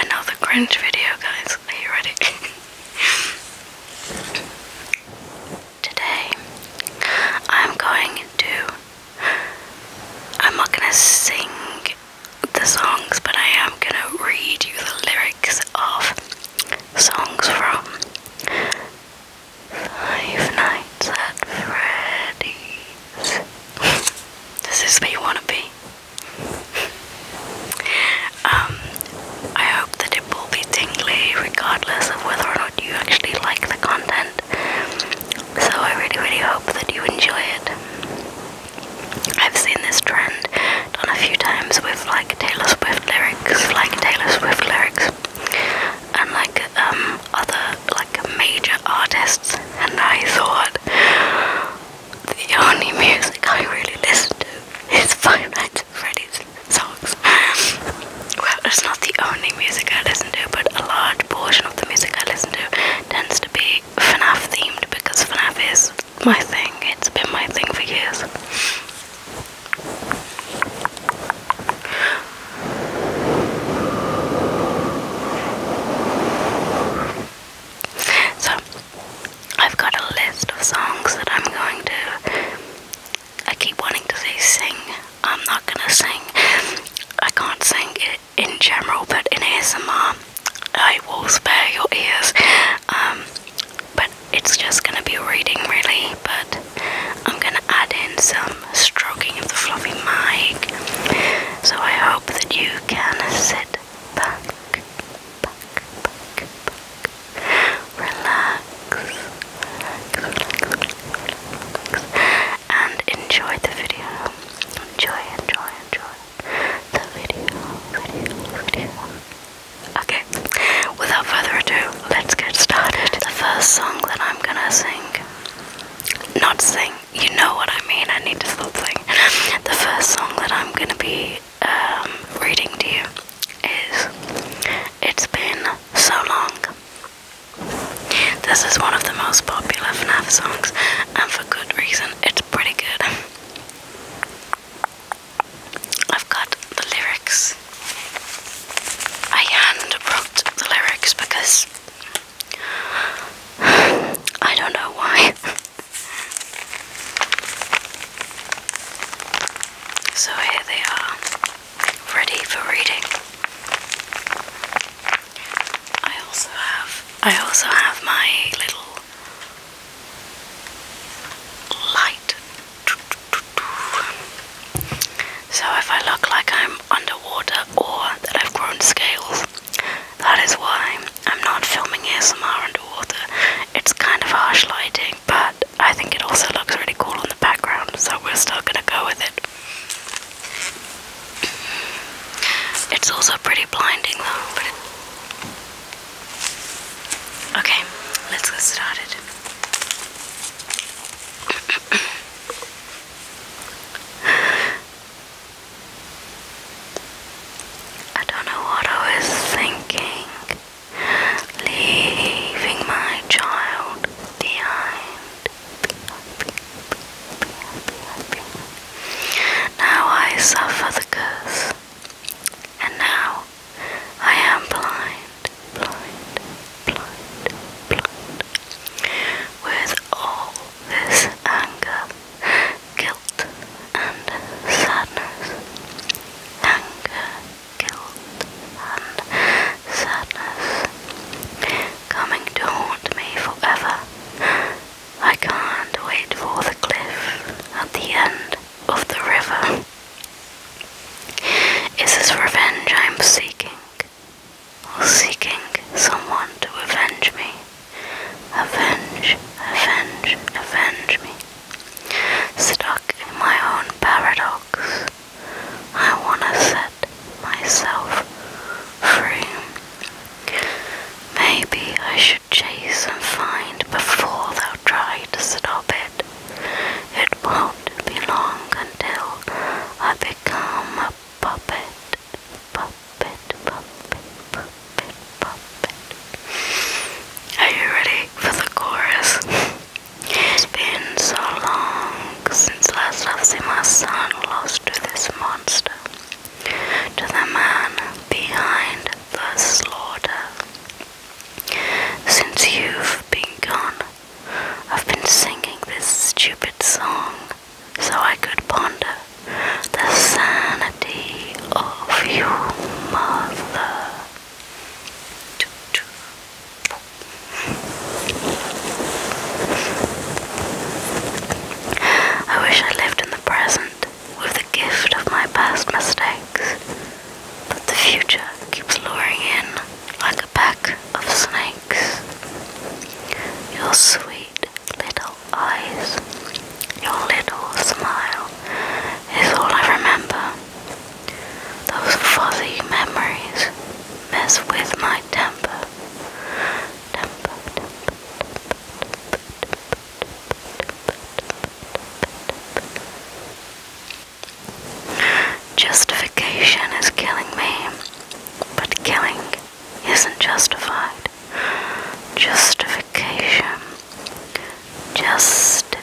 another Grinch video, guys. Are you ready? Today, I'm going to. I'm not gonna sing the songs, but I am gonna read you the lyrics of songs from Five Nights at Freddy's. this is me wanna be. Um, I hope that it will be tingly regardless of whether or not you actually like the content. So I really, really hope that you enjoy it. I've seen this trend done a few times with like Taylor Swift lyrics, like Taylor Swift lyrics, and like um, other like major artists, and I thought, the only music I really listen to is Five Nights at Freddy's songs. Well, it's not the only music I listen to, but a large portion of the music I listen to tends to be FNAF themed because FNAF is my thing. It's been my thing for years. So I've got a list of songs that I'm going to. I keep wanting to say sing. I'm not gonna sing. I can't sing in general, but in ASMR, I will spare your ears. Um, but it's just gonna be reading really. But I'm gonna add in some stroking of the floppy mic. So I hope that you can sit back Relax, relax, relax, relax, and enjoy the video. Enjoy, enjoy, enjoy the video. Okay, without further ado, let's get started. The first song that I'm gonna sing, not sing, you know what I mean. I need to stop saying. The first song that I'm gonna be um, reading to you is "It's Been So Long." This is one of the most popular FNAF songs, and for good reason. It's pretty good. I've got the lyrics. I hand wrote the lyrics because I don't know why. So here they are, ready for reading. I also have I also have my little light. So if I look like I'm underwater or that I've grown scales, that is why. I'm not filming ASMR underwater. It's kind of harsh lighting, but I think it also looks really cool on the background, so we're still gonna go with it. It's also pretty blinding though, Okay, let's get started. I don't know what I was thinking, leaving my child behind. Now I suffer the curse, and now I am blind, With all this anger guilt and sadness, anger, guilt and sadness, coming to haunt me forever. I can't wait for the cliff at the end of the river. Is this revenge I'm seeking? Or seeking someone to avenge me? Avenge, avenge, avenge me. Stuck in my own paradox, I want to set myself free. Maybe I should chase and find before thou try to stop it. It won't be long until I become a puppet puppet, puppet, puppet, puppet. Are you ready for the chorus? Been so long since last I've seen my son lost to this monster, to the man behind the slaughter. Since you've been gone, I've been singing this stupid song so I could ponder the sanity of you, mother. I wish I lived in the present with the gift of my past mistakes, but the future keeps luring in like a pack of snakes. Your sweet little eyes, your little smile is all I remember. Those fuzzy memories mess with my temper. Temper, temper, temper. Justification is killing me, but killing isn't justified. Justification. Justification.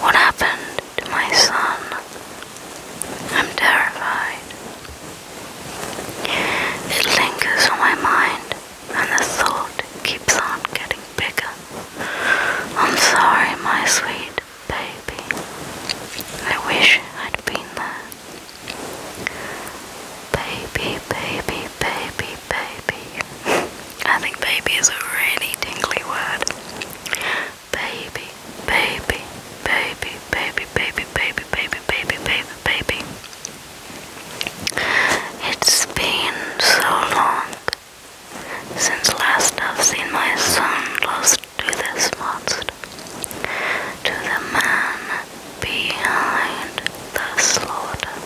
What happened to my son? I'm terrified. It lingers on my mind, and the thought keeps on getting bigger. I'm sorry, my sweet baby. I wish I'd been there. Baby, baby, baby, baby. I think baby is a really tingly word. Baby, baby, baby, baby, baby, baby, baby, baby, baby, baby. It's been so long since last I've seen my son last to this monster, to the man behind the slaughter,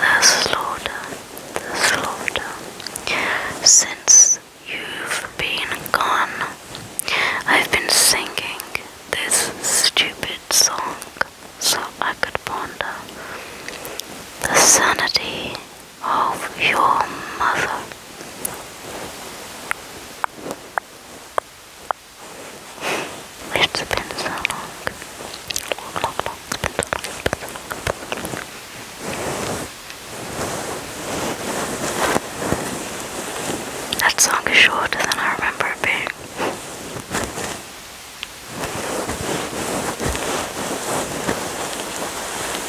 the slaughter, the slaughter. Since you've been gone, I've been singing this stupid song so I could ponder the sanity of your mother. It's been so long. Long, That song is shorter than I remember it being. If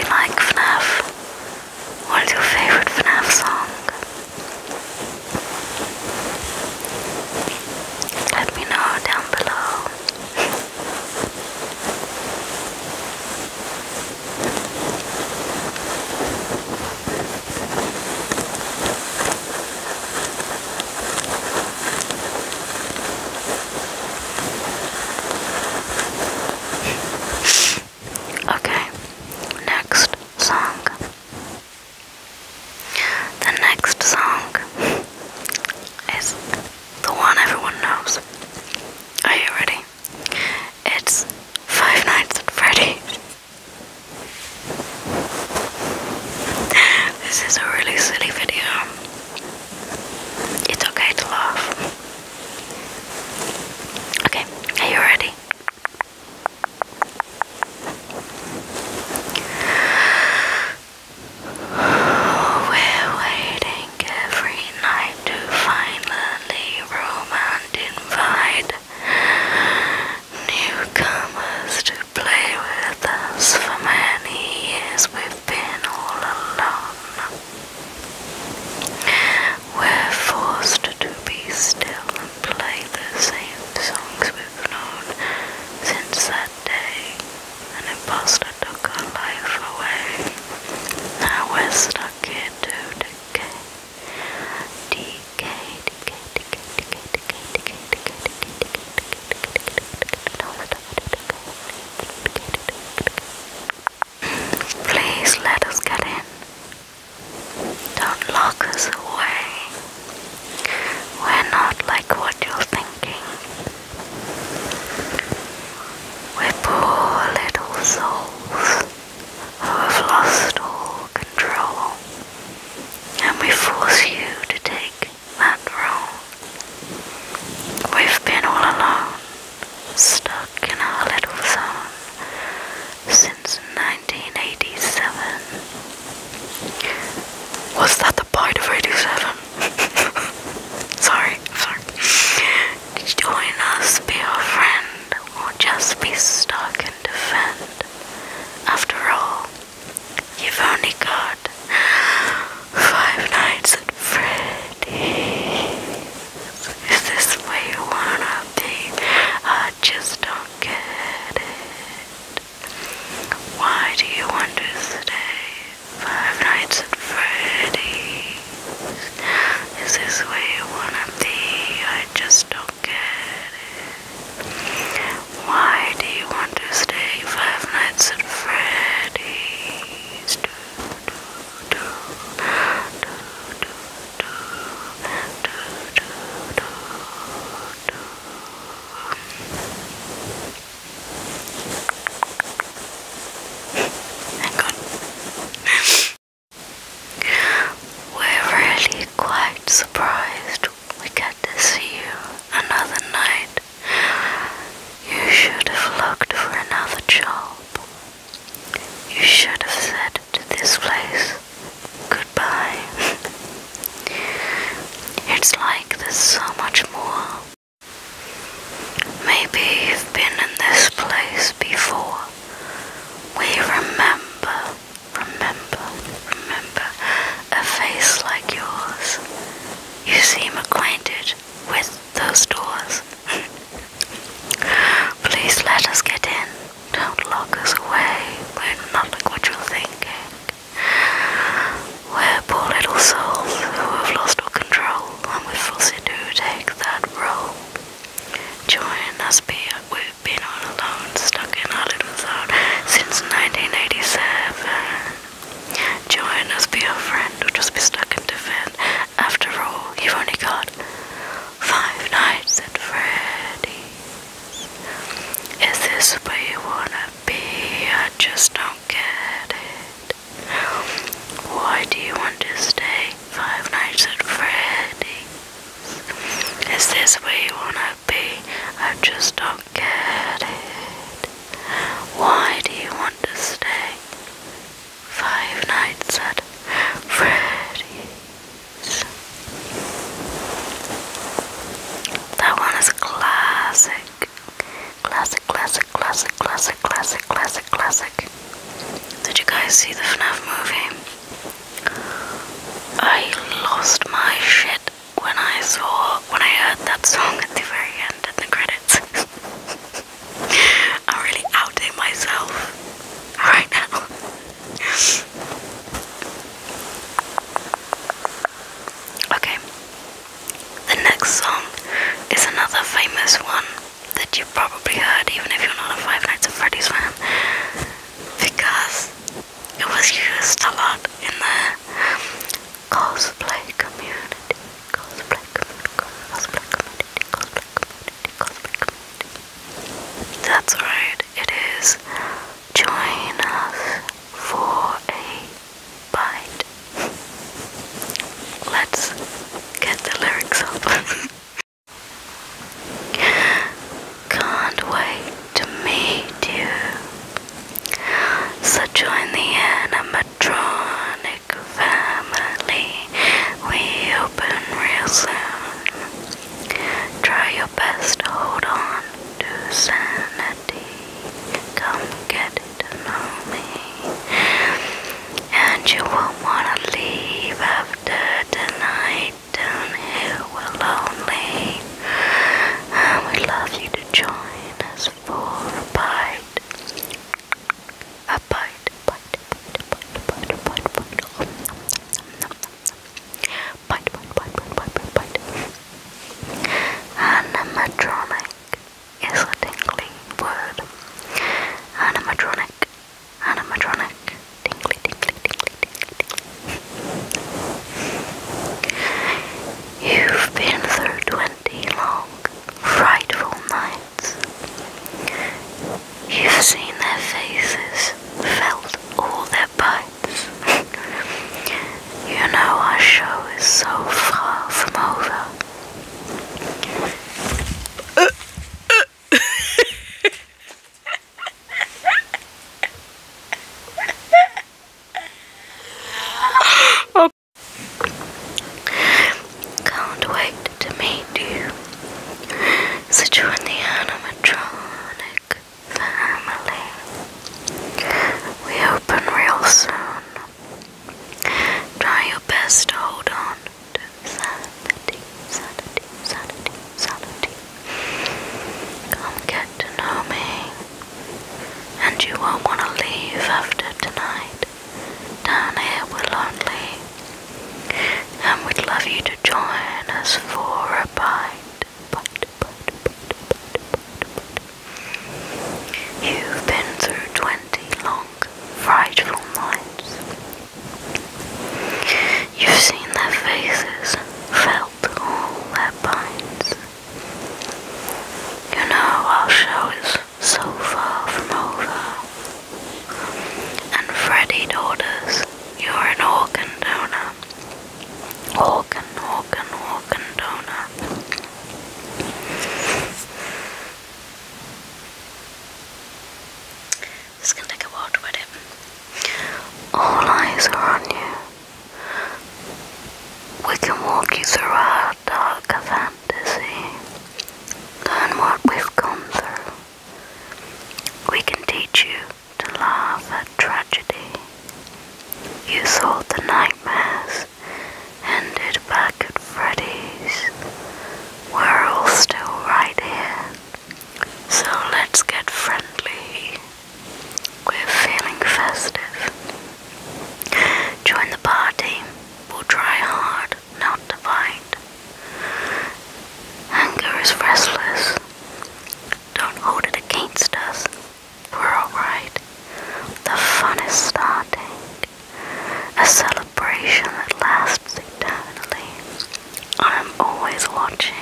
you like FNAF, what's your favorite FNAF song? Let me know down below. Okay, next song. The next song is the one everyone knows. Are you ready? It's Five Nights at Freddy's. This is a really silly video. It's okay to laugh. Okay, are you ready? We're waiting every night to finally romance invite newcomers to play with us. For many years we've been all alone. We're forced to be still and play the same songs we've known since that day. An imposter took our life away. Now we're stuck here to decay. Decay, Please let us get in. Don't lock us away. We're not like what you're thinking. We're poor little souls who have lost all control, and we force you to take that role. We've been all alone, stuck in our little zone since 1987. Was that the bite of 87? sorry, sorry. Join us, be our friend, or just be stuck and defend. After all, you've only got five nights at Freddy's. Is this where you wanna be? I just don't get it. Why do you want to stay five nights at Freddy's? Is this where you wanna be? I just don't get it. Why do you want to stay five nights at Freddy's? Do, we're really quite surprised we get to see you another night. You should have looked for another job. You should have said to this place, goodbye. it's like there's so much more. Maybe you've been in this place before. We remember Remember, remember a face like yours. You seem acquainted with those doors. Please let us get in. Don't lock us away. We're not like what you're thinking. We're poor little souls who have lost our control and we're forced to take that role. Join us, be we been all alone, stuck in a little zone since 1987. Join us, be a friend, or just be stuck in defend. After all, you've only got five nights at Freddy's. Is this where you wanna be? I just don't get it. Why do you want to stay five nights at Freddy's? Is this where you wanna be? I just don't get it. Why do you want to stay? Five nights at Freddy's. That one is classic. Classic, classic, classic, classic, classic, classic, classic. Did you guys see the FNAF movie? I lost my shit when I saw, when I heard that song at the very end in the credits. I'm really outing myself right now. okay. The next song is another famous one that you probably heard, even if you're not a Five Nights at Freddy's fan, because it was used a lot in the cosplay community. Cosplay community, cosplay community, cosplay community, cosplay community. That's right, it is. Join us for a bite. Let's get the lyrics up. Can't wait to meet you. So join the animatronic family. We open real soon. Try your best to hold on to sanity. Come get to know me. And you won't want to leave ever tonight down here we're lonely and we'd love you to join us for a bite a bite, bite, bite, bite, bite, bite, bite, nom, nom, nom, nom, nom. bite, bite, bite, bite, bite, bite, bite animatronic is a tingling word animatronic animatronic You've been through twenty long, frightful nights. You've seen their faces, felt all their bites. you know our show is so far from over. Can't wait to meet you. Since the animatronic family. We open real soon. Try your best hold on sanity, sanity, sanity, sanity. Come get to know me, and you won't want to leave after tonight. Down here we're lonely, and we'd love you to join us for a bite. bite, bite, bite, bite, bite, bite. You've been through twenty long frightful nights. You've seen their faces, felt all their pains. You know our show is so far from over. And freddy orders you're an organ donor. Organ, organ, organ donor. All eyes are on you. We can walk you through our darker fantasy. Learn what we've gone through. We can teach you to laugh at tragedy. You thought the nightmares ended back at Freddies, We're all still right here, so let's get friendly. We're feeling festive. Join the party. We'll try hard not to fight. Anger is restless. Don't hold it against us. We're alright. The fun is starting a celebration that lasts eternally. I'm always watching.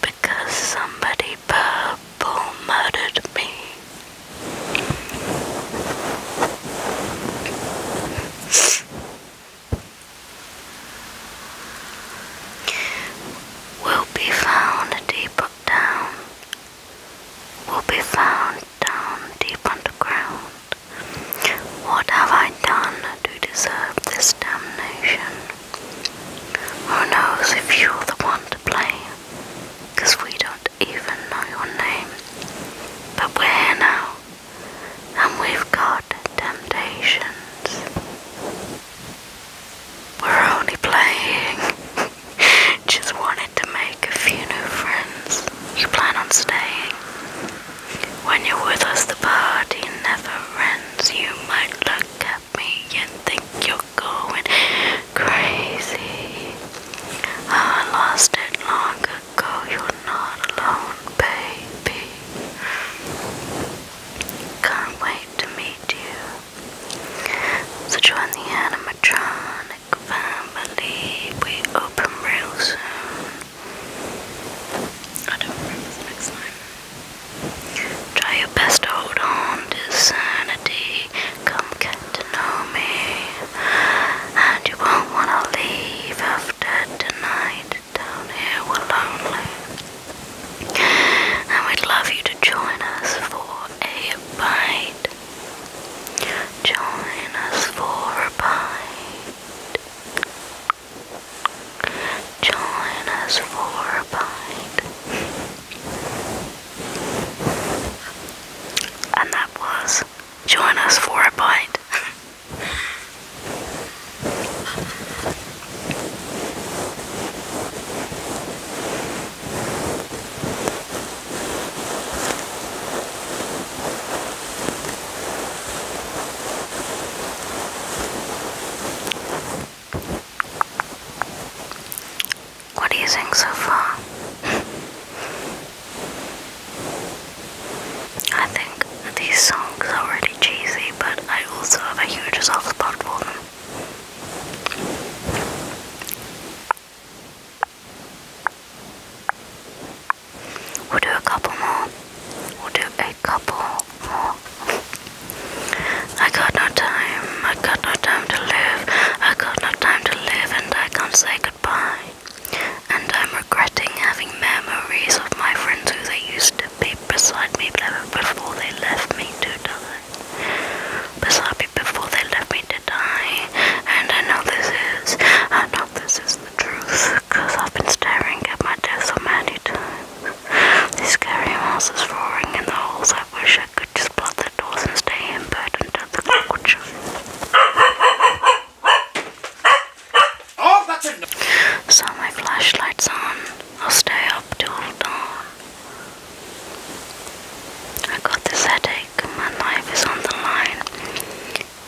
Because somebody purple murdered me. Will be found deep down will be found down deep underground. What have I done to deserve this damnation? Who knows if you're the one to blame? we don't even know your name. But we're here now, and we've got temptations. We're only playing. Just wanted to make a few new friends. You plan on staying? When you're with us, the party never ends. You might look at me and think you're going crazy. I lost it long ago. You're not alone, baby. Can't wait to meet you. So join the animatronic family. We open real soon. Try your best to hold on to Come get to know me. And you won't want to leave after tonight. Down here we're lonely. And we'd love you to join us for a bite. Join us for a bite. Join us for a bite. And that was Join Us for a Bite. What do you think so far? I think these songs are really cheesy, but I also have a huge soft spot for We'll do a couple more. We'll do a couple more. I got no time. I got no time to live. I got no time to live, and I can't say goodbye. And I'm regretting having memories of my friends who they used to be beside me before they left me to die was happy before they left me to die. And I know this is, I know this is the truth, cause I've been staring at my desk so many times. These scary monsters roaring in the halls. I wish I could just block the doors and stay in bed until the clock would show. Oh, that's enough! So my flashlight's on. I'll stay up till dawn. I got this headache, my life is on the line.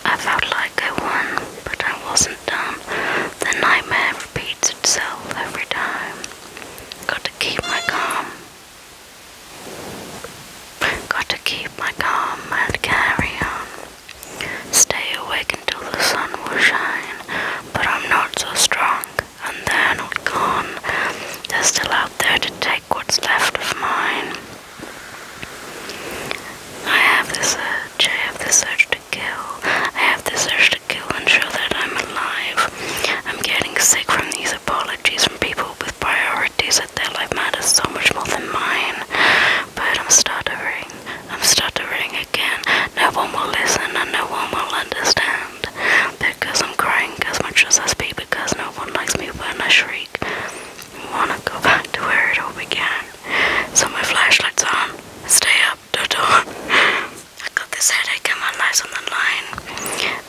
I felt like I won, but I wasn't done. The nightmare repeats itself every time. Got to keep my calm. Got to keep my calm and carry on. Stay awake until the sun will shine, but I'm not so strong and they're not gone. They're still out there to take what's left of mine. I have this urge, I have this urge to kill. I have this urge to kill and show that I'm alive. I'm getting sick from these apologies from people with priorities that their life matters so much more than mine. But I'm stuttering. I'm stuttering again. No one will listen and no one will understand because I'm crying as much as I speak because no one likes me when I shriek. wanna go back to where it all began. So my flashlight's on. Stay up, do Dodo. I got this headache and my life's on the line.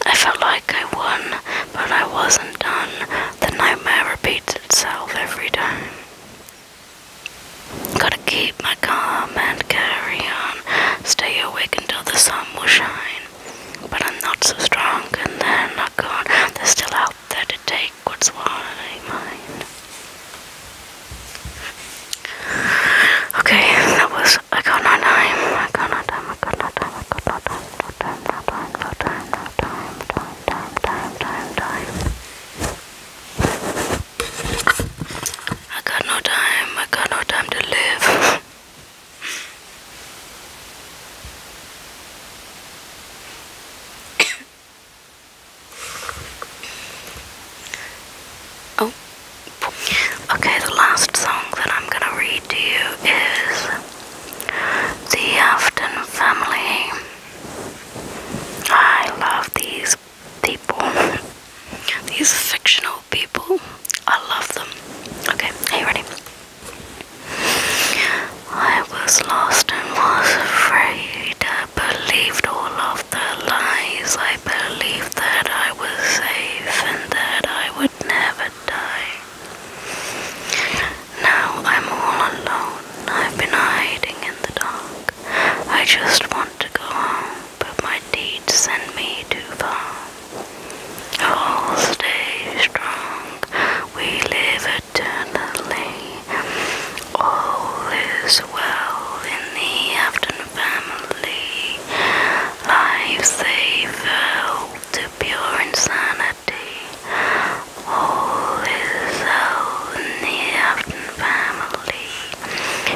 I felt like I won, but I wasn't done. The nightmare repeats itself every time. Gotta keep keep my calm and carry on. Stay awake until the sun will shine. But I'm not so strong, and then I are not gone. They're still out there to take what's mine. Okay, that was I got no time. I got no time. I got no time. I got no time. No time. No time. No time. No Time. Time. Time. Time. time. I got no time, I got no time to live. oh, okay, the last song that I'm gonna read to you is The Afton Family. I love these people. These fictional people. I love them. Okay, are you ready? I was lost and was afraid. I believed all of the lies. I believed that I was safe and that I would never die. Now I'm all alone. I've been hiding in the dark. I just want to go home but my deeds send me too far. Oh, stay strong, we live eternally. All is well in the Afton family. Lives they oh, to pure insanity. All is well in the Afton family.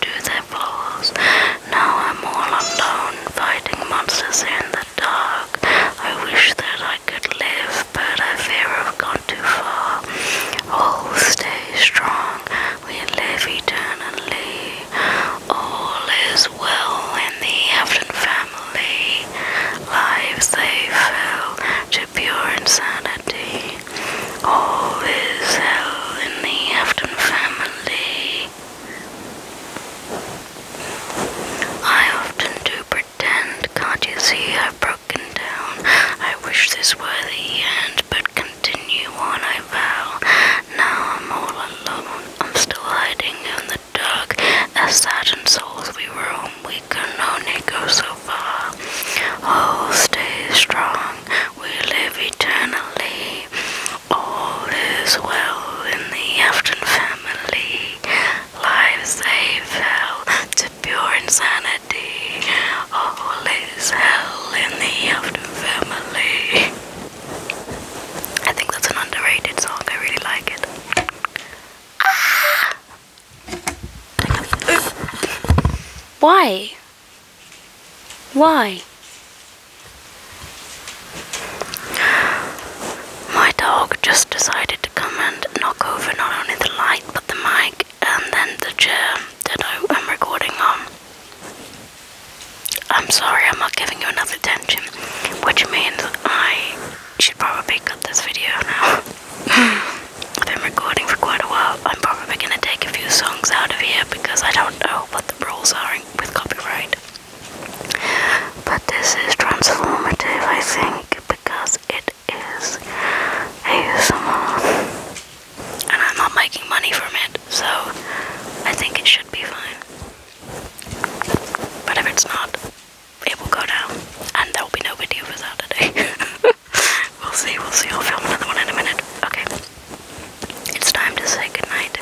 to their flaws. Now I'm all alone, fighting monsters in the dark. I wish that I could live, but I fear I've gone too far. All stay strong, we live eternally. All is well in the Afton family. Lives they fill to pure insanity. All is well in the Afton family. I often do pretend, can't you see? I've broken down. I wish this were the end, but continue on, I vow. Now I'm all alone. I'm still hiding in the dark. As saddened souls we roam, we can only go so far. Oh, stay strong we live eternally. All is well in the Afton family. Lives they fell to pure insanity. All is hell in the Afton family. I think that's an underrated song. I really like it. Ah! Why? Why? My dog just decided to come and knock over not only the light but the mic and then the chair that I am recording on. I'm sorry, I'm not giving you enough attention, which means I should probably cut this video now. I've been recording for quite a while. I'm probably going to take a few songs out of here because I don't know what the rules are with copyright. But this is transformative, I think, because it is ASMR. And I'm not making money from it, so I think it should be fine. But if it's not, it will go down, and there will be no video for Saturday. we'll see, we'll see. I'll film another one in a minute. Okay. It's time to say goodnight.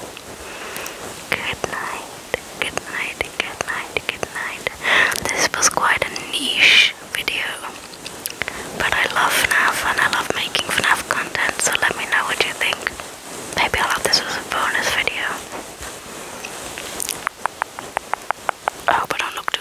Good night. Good night. Good night. Good night. This was quite a niche video. But I love FNAF and I love making FNAF content, so let me know what you think. Maybe I'll this as a bonus video. I hope I do